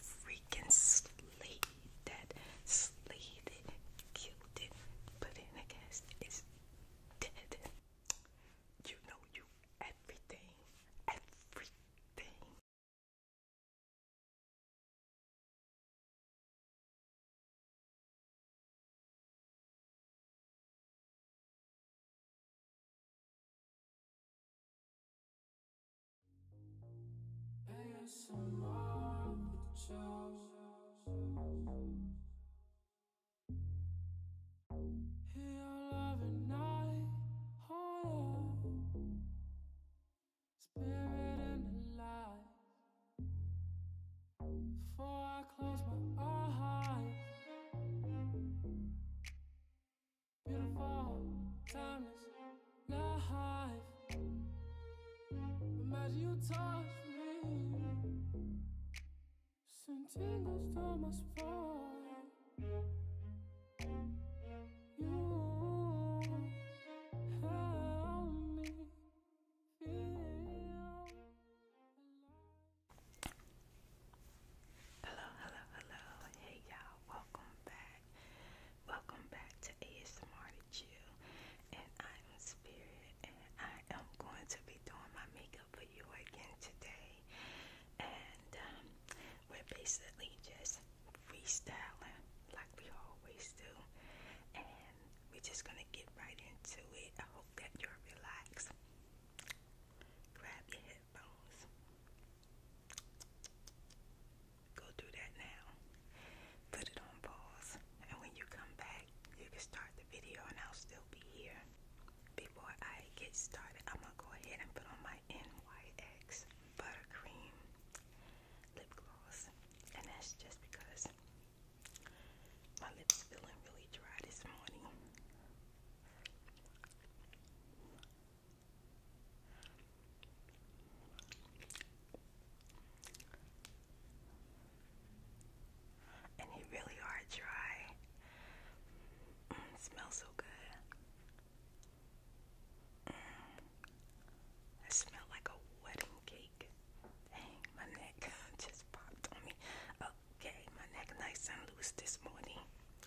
freaking slayed, that slayed, killed it, put in a cast is dead. You know you everything, everything. ASMR with Joe. Here every night, oh yeah. Spirit and light. Before I close my eyes, Beautiful, timeless life. Imagine you touch me. Send tingles to my spine. You help me feel Hello, hello, hello. Hey y'all, welcome back. Welcome back to ASMR to Chill. And I am Spirit and I am going to be doing my makeup for you again today. And um, we're basically just freestyling like we always do. And we're just gonna get right into it. I hope that you're relaxed. Grab your Go do that now. Put it on pause. And when you come back, you can start the video and I'll still be here. Before I get started, I'm going to go ahead and put on my NYX Buttercream Lip Gloss. And that's just because my lips feeling really dry this morning. And you really are dry. Mm, smells so good. Mm. I smell like a wedding cake. Dang, my neck just popped on me. Okay, my neck nice and loose this morning.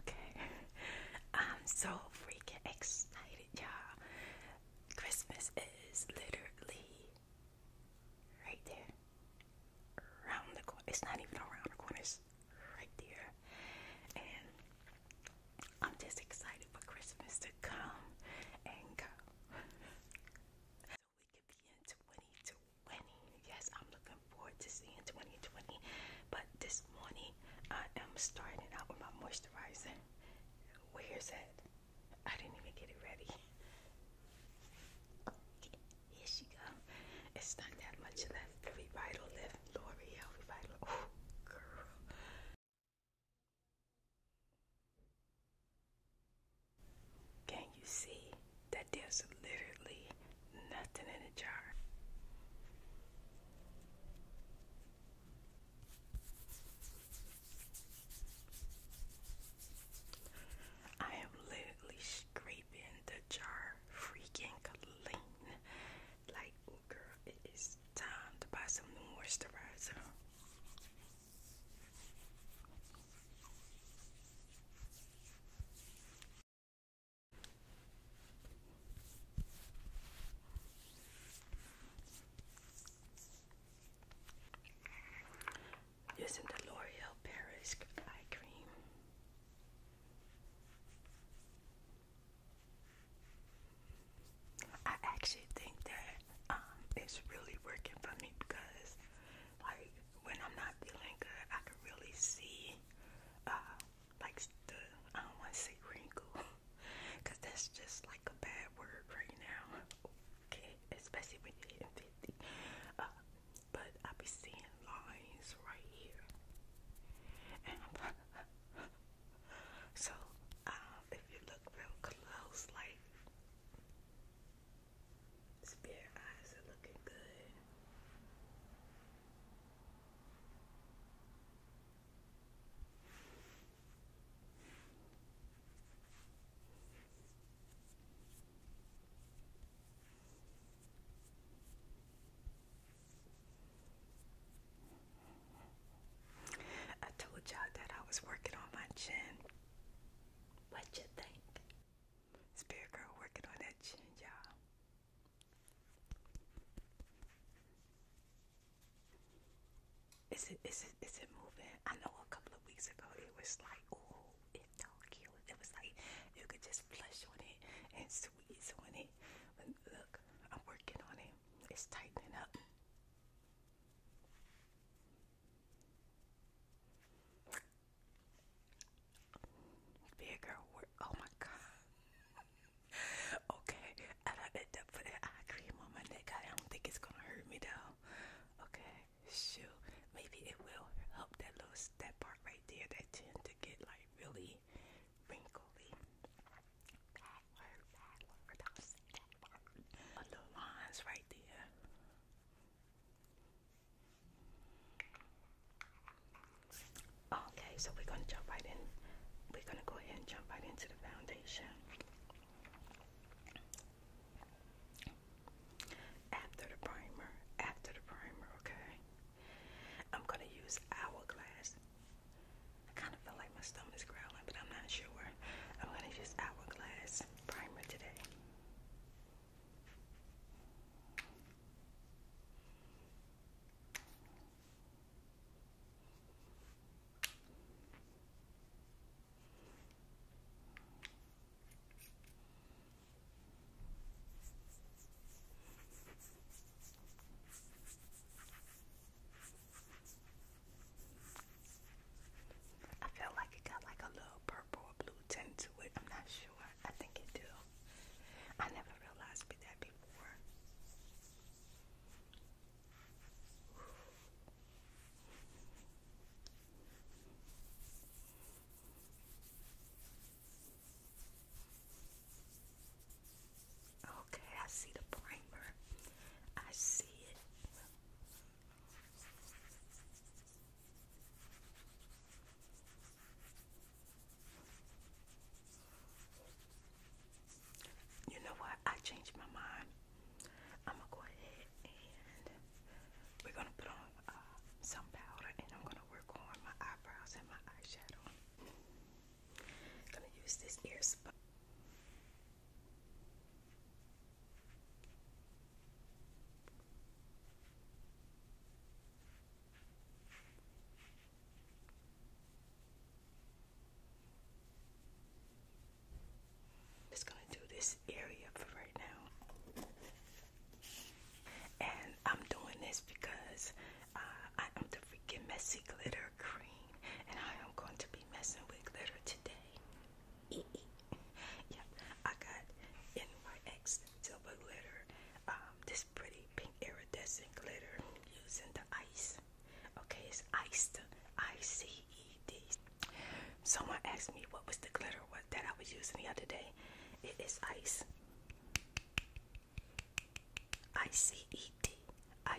Okay, I'm so freaking excited, y'all. Christmas is literally right there, around the corner. It's not even around the corner, right there. And I'm just excited for Christmas to come and go. we could be in 2020. Yes, I'm looking forward to seeing 2020. But this morning, I am starting out with my moisturizer. Where's that? I didn't even get it ready. here she comes. It's not that much left. The L'Oreal Revital. Oh, girl. Can you see that there's literally nothing in the jar? I am literally scraping the jar freaking clean. Like, Oh, girl, it is time to buy some new moisturizer. Using the L'Oreal Paris eye cream. I actually think that um, it's really working for me because, like, when I'm not feeling good, I can really see, uh, like, the I don't want to say wrinkle because that's just like a bad word right now, Especially when you're hitting 50. Uh, but I be seeing lines right here, so, um, off if you look real close, like spirit eyes are looking good. I told y'all that I was working on my chin. What you think? Spirit girl working on that chin, y'all. Is it is it is it moving? I know a couple of weeks ago it was like, oh, it's so cute. It was like you could just flush on it and squeeze on it. But look, I'm working on it. It's tightening up. Bigger word. Oh my god. okay, I don't end up putting eye cream on my neck. I don't think it's gonna hurt me though. Okay, shoot. Maybe it will help that little that part right there, that tend to get like really wrinkly. That lines right there. Okay, so we're gonna jump right in. We're gonna go ahead and jump right into the foundation. After the primer, after the primer, okay. I'm gonna use Hourglass I kind of feel like my is growling, but I'm not sure. I'm gonna use Hourglass primer today. I feel like it got like a little purple or blue tint to it. I'm not sure. I think it do. I never realized that before. Okay, I see the primer. I see it. You know what? I changed my mind. I'm gonna go ahead and we're gonna put on uh, some powder and I'm gonna work on my eyebrows and my eyeshadow. gonna use this ear just going to do this area for right now. And I'm doing this because uh, I am the freaking messy glitter cream, and I am going to be messing with glitter today. yeah, I got NYX Silver Glitter, um, this pretty pink iridescent glitter using the ice. Okay, it's iced, I-C-E-D. Someone asked me what was the glitter that I was using the other day. It is ice. I-C-E-D. I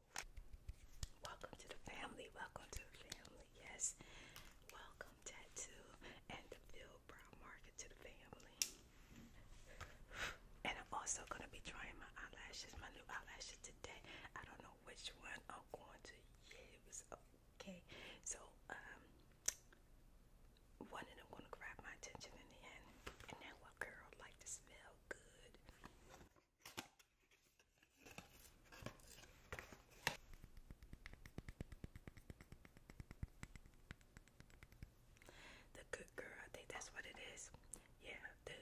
Welcome to the family. Welcome to the family. Yes. Welcome tattoo and the field brow market to the family. And I'm also gonna be trying my eyelashes, my new eyelashes today. I don't know which one I'm going to use. Okay, so um, one of them gonna grab my attention in the end. And that what girl like to smell the Good Girl, I think that's what it is. Yeah, the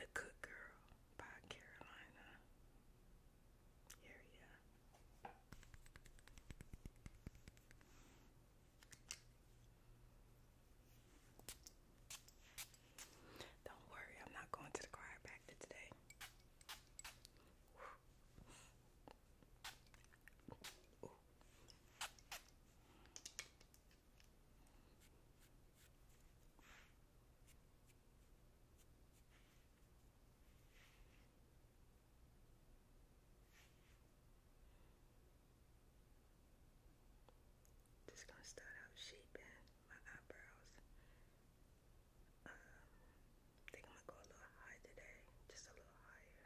The Good Girl by Carolina area. Don't worry, I'm not going to the chiropractor today. Ooh. Ooh. Just gonna start out shaping my eyebrows. I um, think I'm gonna go a little high today, just a little higher.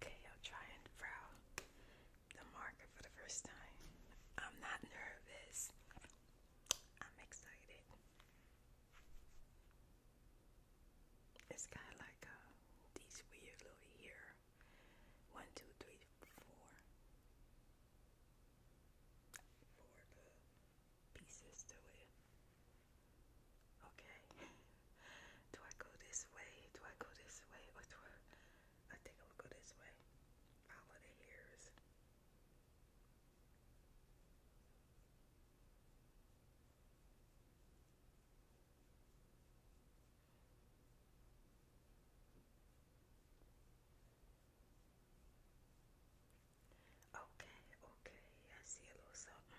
Okay, I'll try and frown the marker for the first time. I'm not nervous. I'm excited. It's kind of like uh, these weird little here. One, two, three, four. Four pieces to it. Okay. Do I go this way? Do I go this way? Or do I, I think i this way. Follow the hairs. Okay, okay, I see a little something.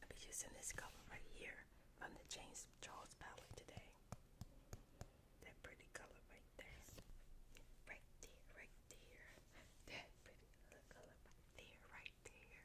I'll be using this color right here from the James Charles palette today. That pretty color right there. Right there, right there. That pretty color right there, right there.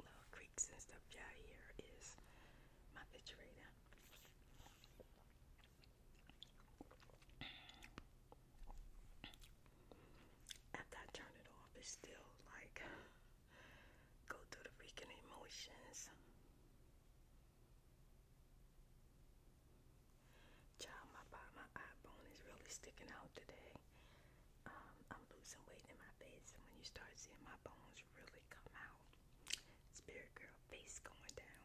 Little creeks and stuff down here is my refrigerator. After I turn it off, it's still like go through the freaking emotions. Child, my my eye bone is really sticking out today. Um, I'm losing weight in my face, when you start seeing my bones really come out, spirit girl face going down.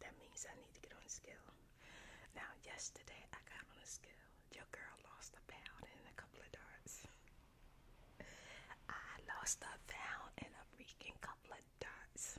That means I need to get on the scale. Now, yesterday I got on the scale. Your girl lost a pound in a couple of darts. I lost a pound in a freaking couple of darts.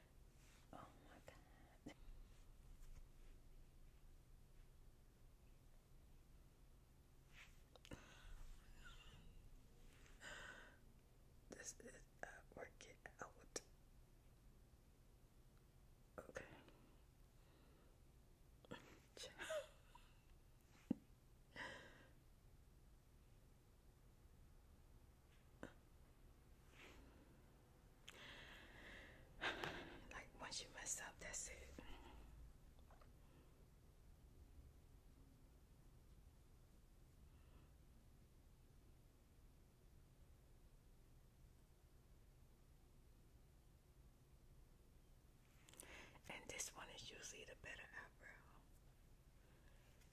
Oh my god. this is uh, work it out. Like once you mess up, that's it. And this one is usually the better eyebrow.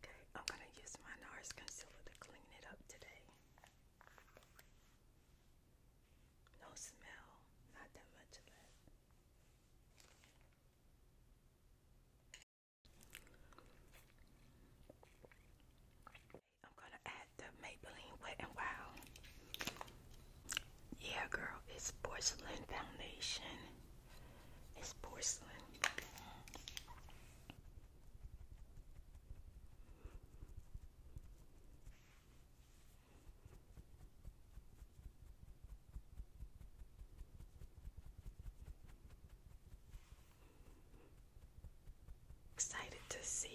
Okay, I'm going to use my NARS concealer to clean it up today. No smell, not that much of it. I'm going to add the Maybelline Wet and Wild. Yeah, girl, it's porcelain foundation. It's porcelain. Excited to see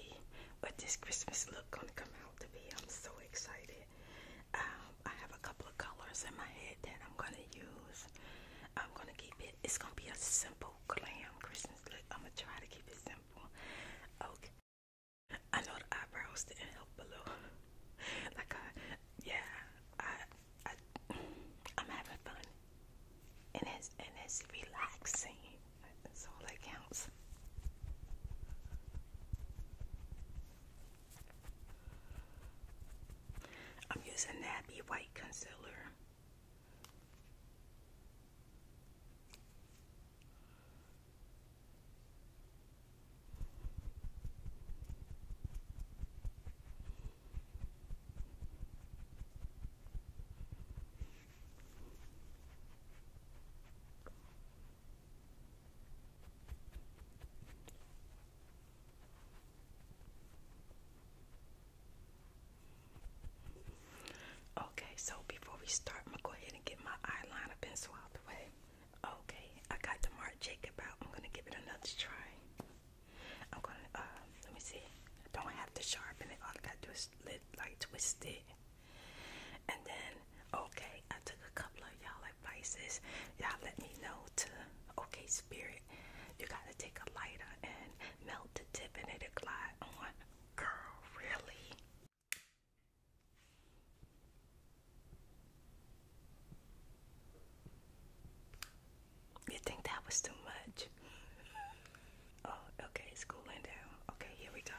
what this Christmas look gonna come out to be. I'm so excited. Um, I have a couple of colors in my head that I'm gonna use. I'm gonna keep it. It's gonna be a simple glam Christmas look. I'm gonna try to keep it simple. Okay. I know the eyebrows didn't help a like uh, yeah, I, I, I'm having fun, and it's and it's relaxing. That's all that counts. I'm using Nappy White Concealer. Okay, so before we start, I'm gonna go ahead and get my eyeliner pencil out the way. Okay, I got the Marc Jacob out. I'm gonna give it another try. I'm gonna, uh, let me see. I don't have to sharpen it. All I gotta do is like twist it. And then, okay, I took a couple of y'all like vices, you let me know to okay spirit. You gotta take a lighter and melt the tip and it'll glide on. Girl, really? You think that was too much? oh, okay, it's cooling down. Okay, here we go.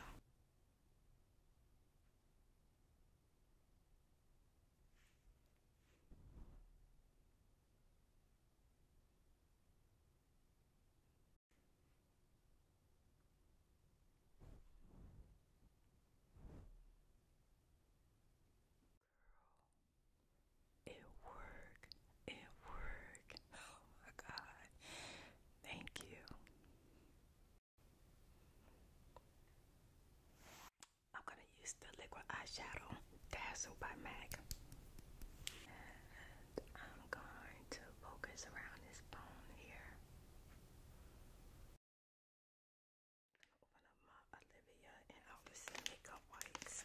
It worked. It worked. Oh my God. Thank you. I'm going to use the liquid eyeshadow Dazzle by MAC. I'm going to focus around this bone here. I'm my Olivia and Alderson Makeup Wipes.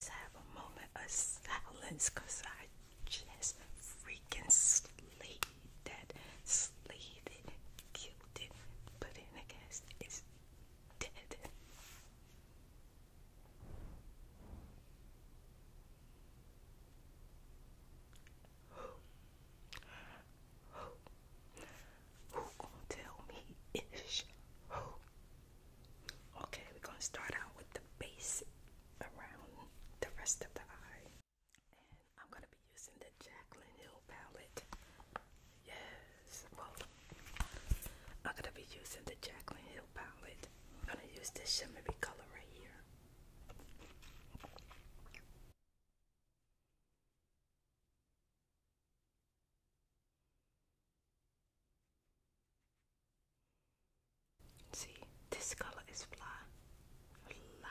Let's have a moment of silence because I just freaking slayed that, slayed it, killed it, put it in a cast. It's dead. Who? gonna tell me ish? Okay, we're gonna start out with the base around the rest of the eye. And I'm gonna be using the Jaclyn Hill palette. Yes. Well, I'm gonna be using the Jaclyn Hill palette. I'm gonna use this shimmery color right here. See, this color is fly. Fly.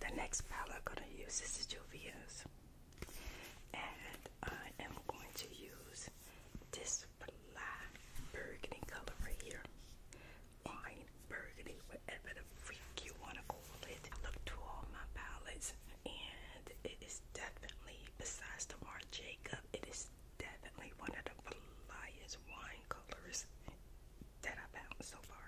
The next palette I'm going to use is the Juvia's. And I am going to use this black burgundy color right here. Wine, burgundy, whatever the freak you want to call it. I looked all my palettes and it is definitely, besides the Marc Jacob, it is definitely one of the flyest wine colors that I found so far.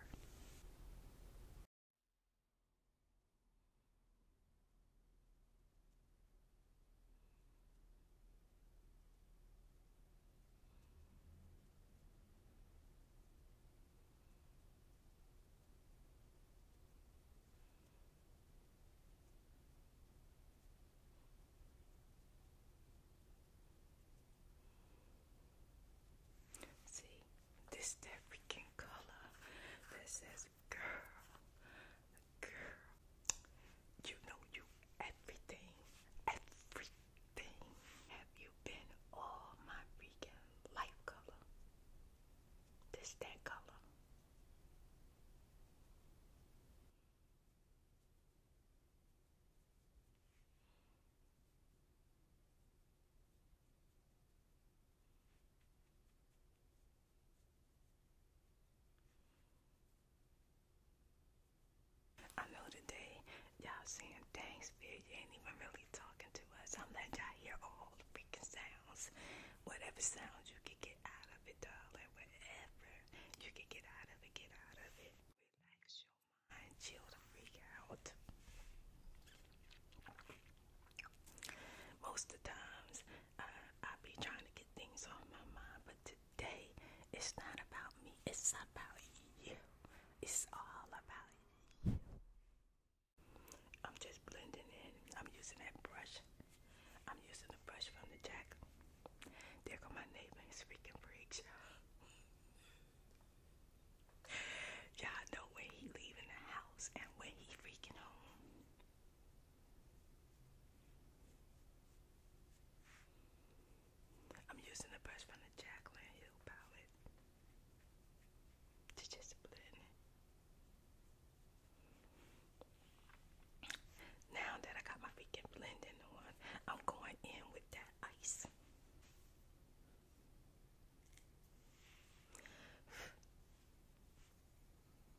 See, this that color. This is girl, girl, you know you everything, everything. Have you been all my freaking life color? This that color. I know today y'all saying thanks, Viv. You ain't even really talking to us. I'm letting y'all hear all the freaking sounds. Whatever sounds you can get out of it, darling. Whatever you can get out of it, get out of it. Relax your mind. Chill the freak out. Most of the times, uh, I be trying to get things off my mind, but today it's not about me, it's about you. It's all about you. I'm just blending in. I'm using that brush. I'm using the brush from the jack. There go my neighbor and freaking freaks. Y'all know when he leaving the house and when he freaking home. I'm using the brush from the Jaclyn Hill palette to just blend. Now that I got my vegan blending on, I'm going in with that ice.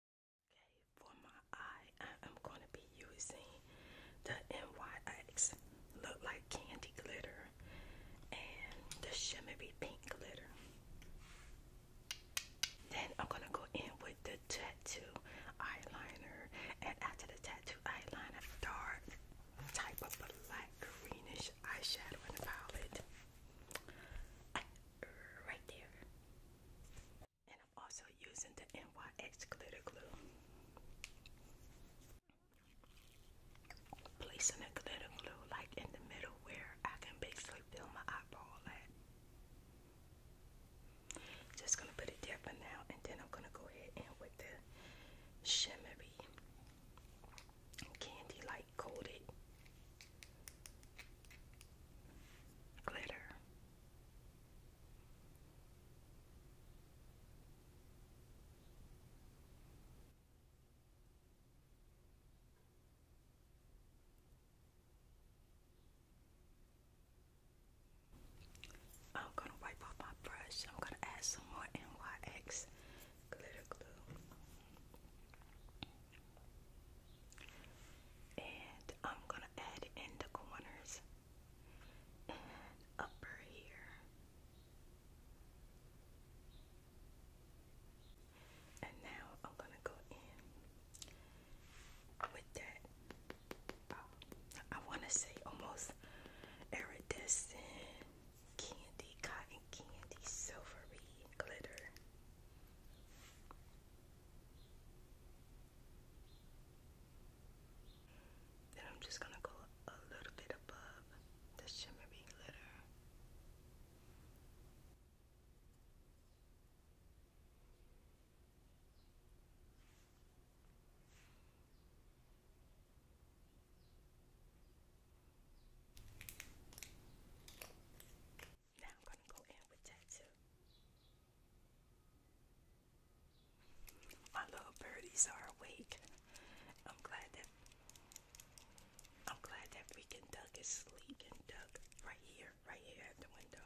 Okay, for my eye, I am going to be using the NYX Look Like Candy Glitter and the Shimmery Pink Glitter. Then I'm going to go in with the tattoo eyeliner. And after the tattoo eyeliner, dark type of black greenish eyeshadow in the palette right there. And I'm also using the NYX glitter glue. Placing the glitter glue like in the middle where I can basically fill my eyeball at. Just gonna put it there for now and then I'm gonna go ahead and with the shimmery candy light glitter. I'm going to wipe off my brush. I'm going to add some more NYX glitter glue and I'm gonna add in the corners upper here and now I'm gonna go in with that uh, I wanna say almost iridescent candy cotton candy silvery glitter then I'm just going to go a little bit above the shimmery glitter. Now I'm going to go in with that My little birdies are awake. I'm glad that I'm glad that freaking duck is sleeping. Duck right here, right here at the window.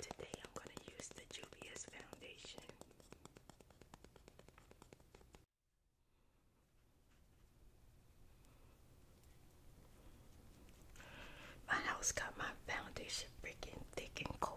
Today I'm going to use the Julius Foundation. My house got my foundation freaking thick and cold.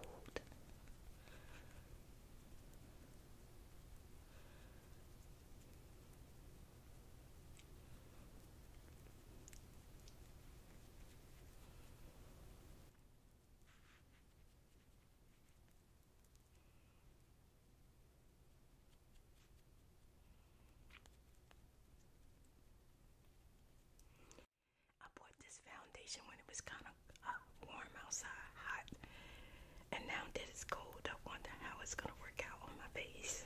I bought this foundation when it was kind of uh, warm outside, hot, and now that it's cold, I wonder how it's going to work out on my face.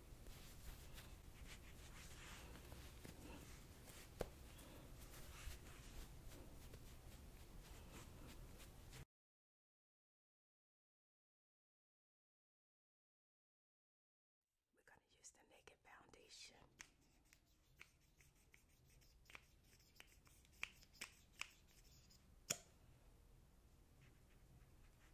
We're going to use the naked foundation.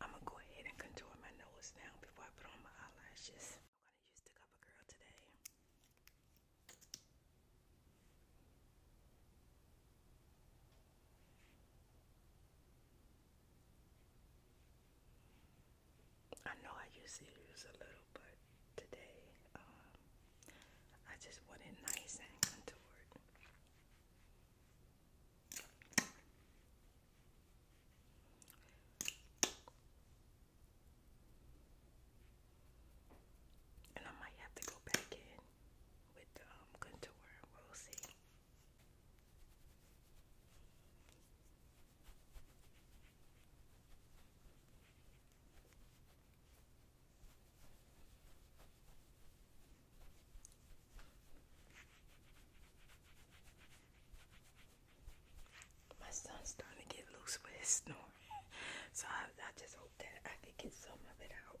I'm gonna go ahead and contour my nose now before I put on my eyelashes. I'm gonna use the Cover today. I know I usually use a little but today um, I just want it nice and And I might have to go back in with the um, contour. We'll see. My son's starting to get loose with his snoring, so I, just hope that I can get some of it out.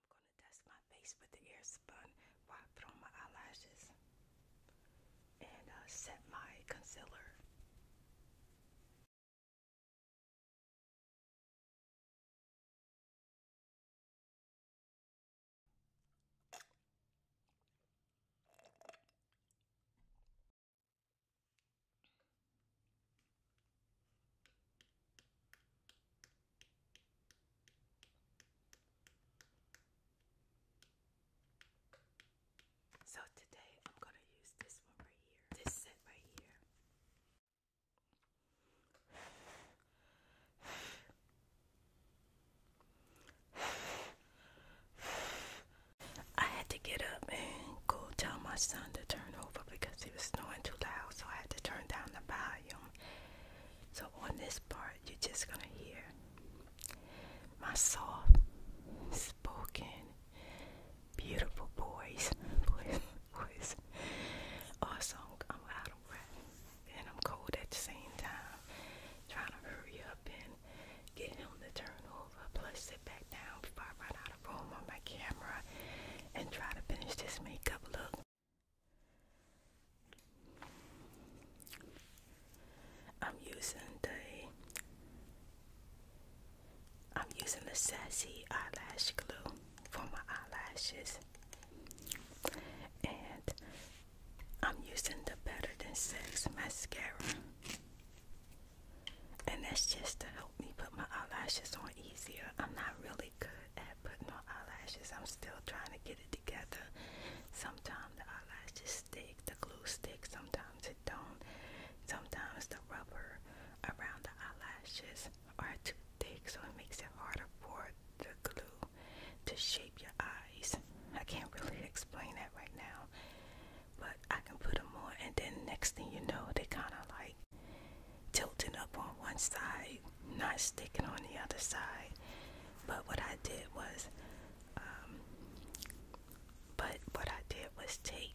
I'm gonna dust my face with the airspun while I put my eyelashes and uh, set my concealer. So today I'm going to use this one right here. This set right here. I had to get up and go tell my son to turn over because he was snowing too loud, so I had to turn down the volume so on this part, you're just going to hear my soft spoken, beautiful voice, voice, voice. Also, I'm out of breath and I'm cold at the same time, trying to hurry up and get him to turn over, plus sit back down before I run out of room on my camera and try to finish this makeup look. I'm using the I'm using the Sassy eyelash glue for my eyelashes. And I'm using the Better Than Sex mascara. And that's just to help me put my eyelashes on easier. I'm not really good at putting on eyelashes. I'm still trying to get it together. Sometimes the eyelashes stick, the glue sticks, sometimes it don't. Sometimes the rubber around the eyelashes are too thick, so it makes it harder for the glue to shape your eyes. I can't really explain that right now, but I can put them on, and then next thing you know, they kind of like tilting up on one side not sticking on the other side. But what I did was, um, but what I did was take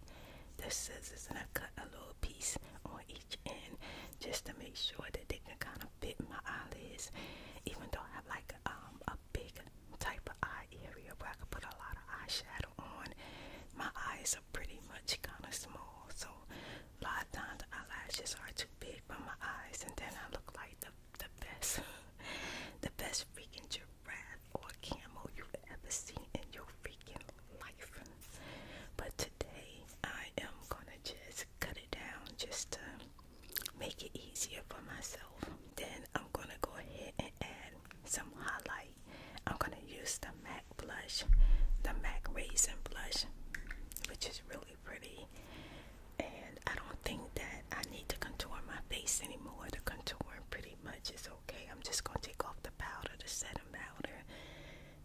the scissors and I cut a little piece on each end just to make sure that they can kind of fit my eyelids. Even though I have like um, a big type of eye area where I can put a lot of eyeshadow on, my eyes are pretty much kind of small. So a lot eyelashes are too big for my eyes, and then I look like the the best, the best freaking giraffe or camel you've ever seen in your freaking life. But today I am gonna just cut it down just to make it easier for myself. Then I'm gonna go ahead and add some highlight. I'm gonna use the MAC blush, the MAC Raisin blush, which is really pretty. And I don't think that I need to contour my face anymore. The contouring pretty much is okay. I'm just going to take off the powder, the setting powder,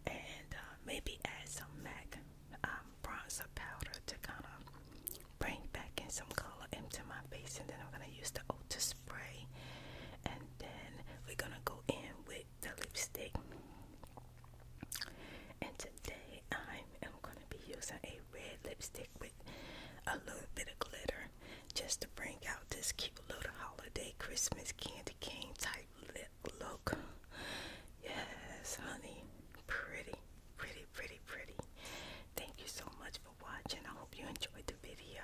and uh, maybe add some MAC um, bronzer powder to kind of bring back in some color into my face. And then I'm going to use the Ulta spray. And then we're going to go in with the lipstick. And today I am going to be using a red lipstick with a little bit of glitter just to bring out this cute little holiday Christmas candy cane type lip look. Yes, honey. Pretty, pretty, pretty, pretty. Thank you so much for watching. I hope you enjoyed the video.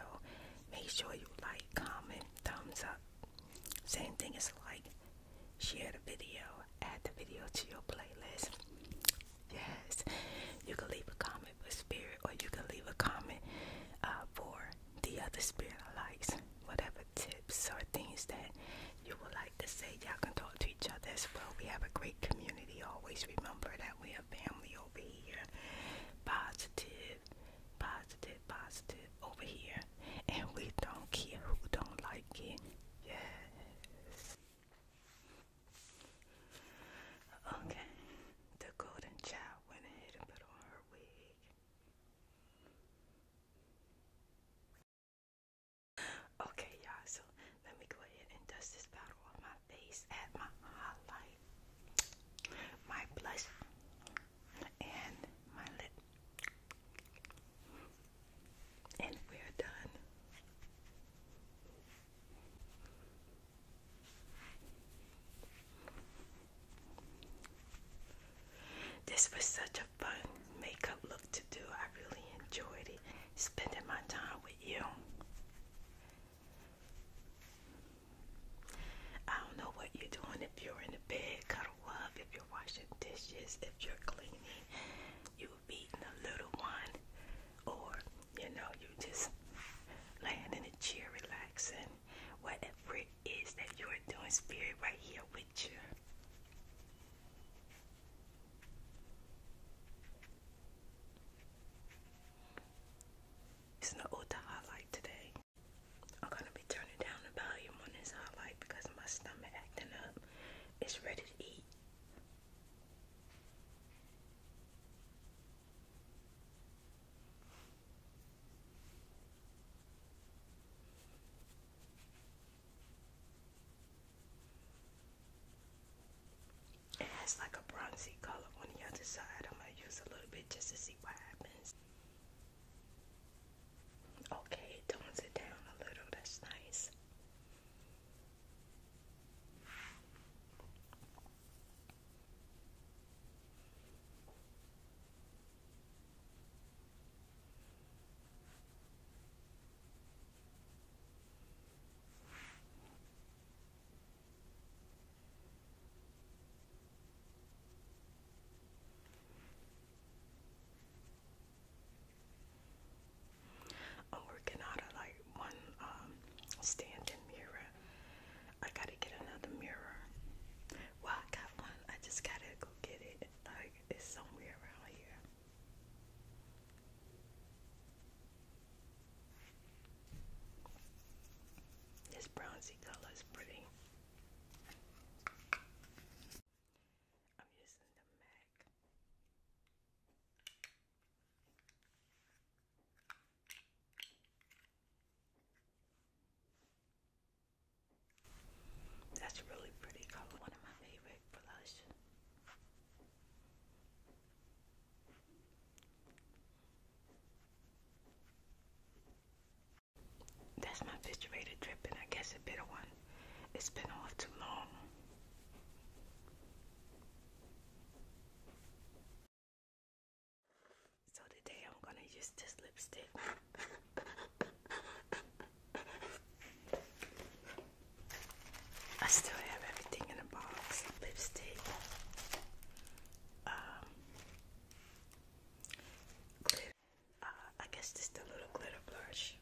Make sure you like, comment, thumbs up. Same thing as like, share the video, add the video to your playlist. Yes, you can leave a comment for spirit, or you can leave a comment uh, for the other spirit likes. Whatever tips or things that you would like to say, y'all can talk to each other as well. We have a great community. Always remember that we have family over here. Positive, positive, positive over here and we don't care who don't like it. Yes. Okay. The golden child went ahead and put on her wig. Okay, y'all, so let me go ahead and dust this powder on my face, add my highlight, my blush, and my lip and we're done. This was such a fun makeup look to do. I really enjoyed it, spending my time with you. I don't know what you're doing if you're in the bed, cuddle up, washing dishes, if you're cleaning, you feeding a little one, or you know, you just laying in a chair relaxing, whatever it is that you are doing, spirit right here with you. It's an older highlight today. I'm gonna be turning down the volume on this highlight because my stomach acting up. It's ready to eat. It has like a bronzy color on the other side. I'm gonna use a little bit just to see what happens. Okay, tones it down a little. That's nice. I'm working out of like one um, standing mirror. I gotta get another mirror. Well, I got one. I just gotta go get it. Like it's somewhere around here. This bronzy color is pretty. I'm using the MAC. That's a really pretty color, one of my favorite blush. That's my refrigerator dripping. I guess a bitter one it's been off too long. So today I'm gonna use this lipstick. I still have everything in a box. Lipstick. Um, uh, I guess this is little glitter blush.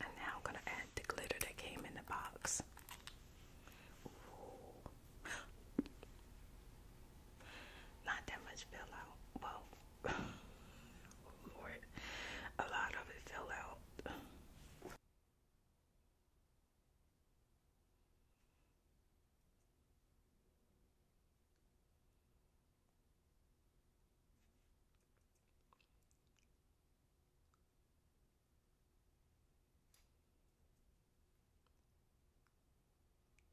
And now I'm going to add the glitter that came in the box. Not that much fell out. Well, oh a lot of it fell out.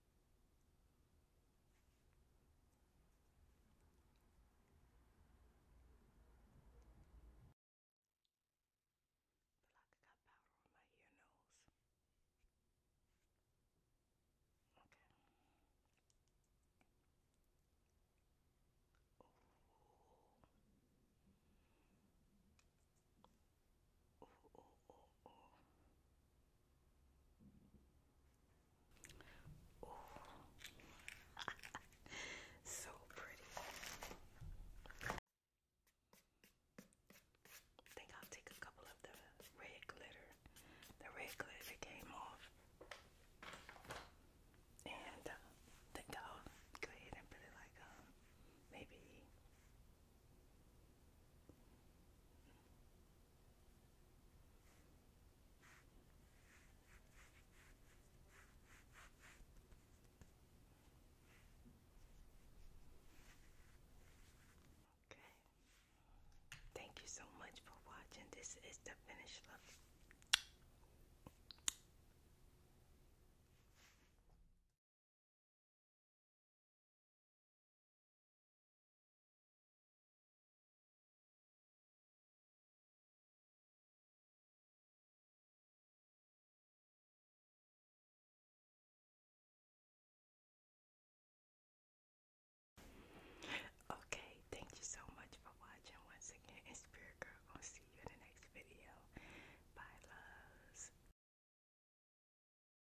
Feel like I got powder on my ear nose. Okay. Ooh. Oh, so pretty. think I'll take a couple of the red glitter. The red glitter came off. And uh, think I'll go ahead and put like um, maybe Okay. Thank you so much for watching. This is the finished look. Okay, thank you so much for watching once again. And Spirit Girl I'll see you in the next video. Bye loves.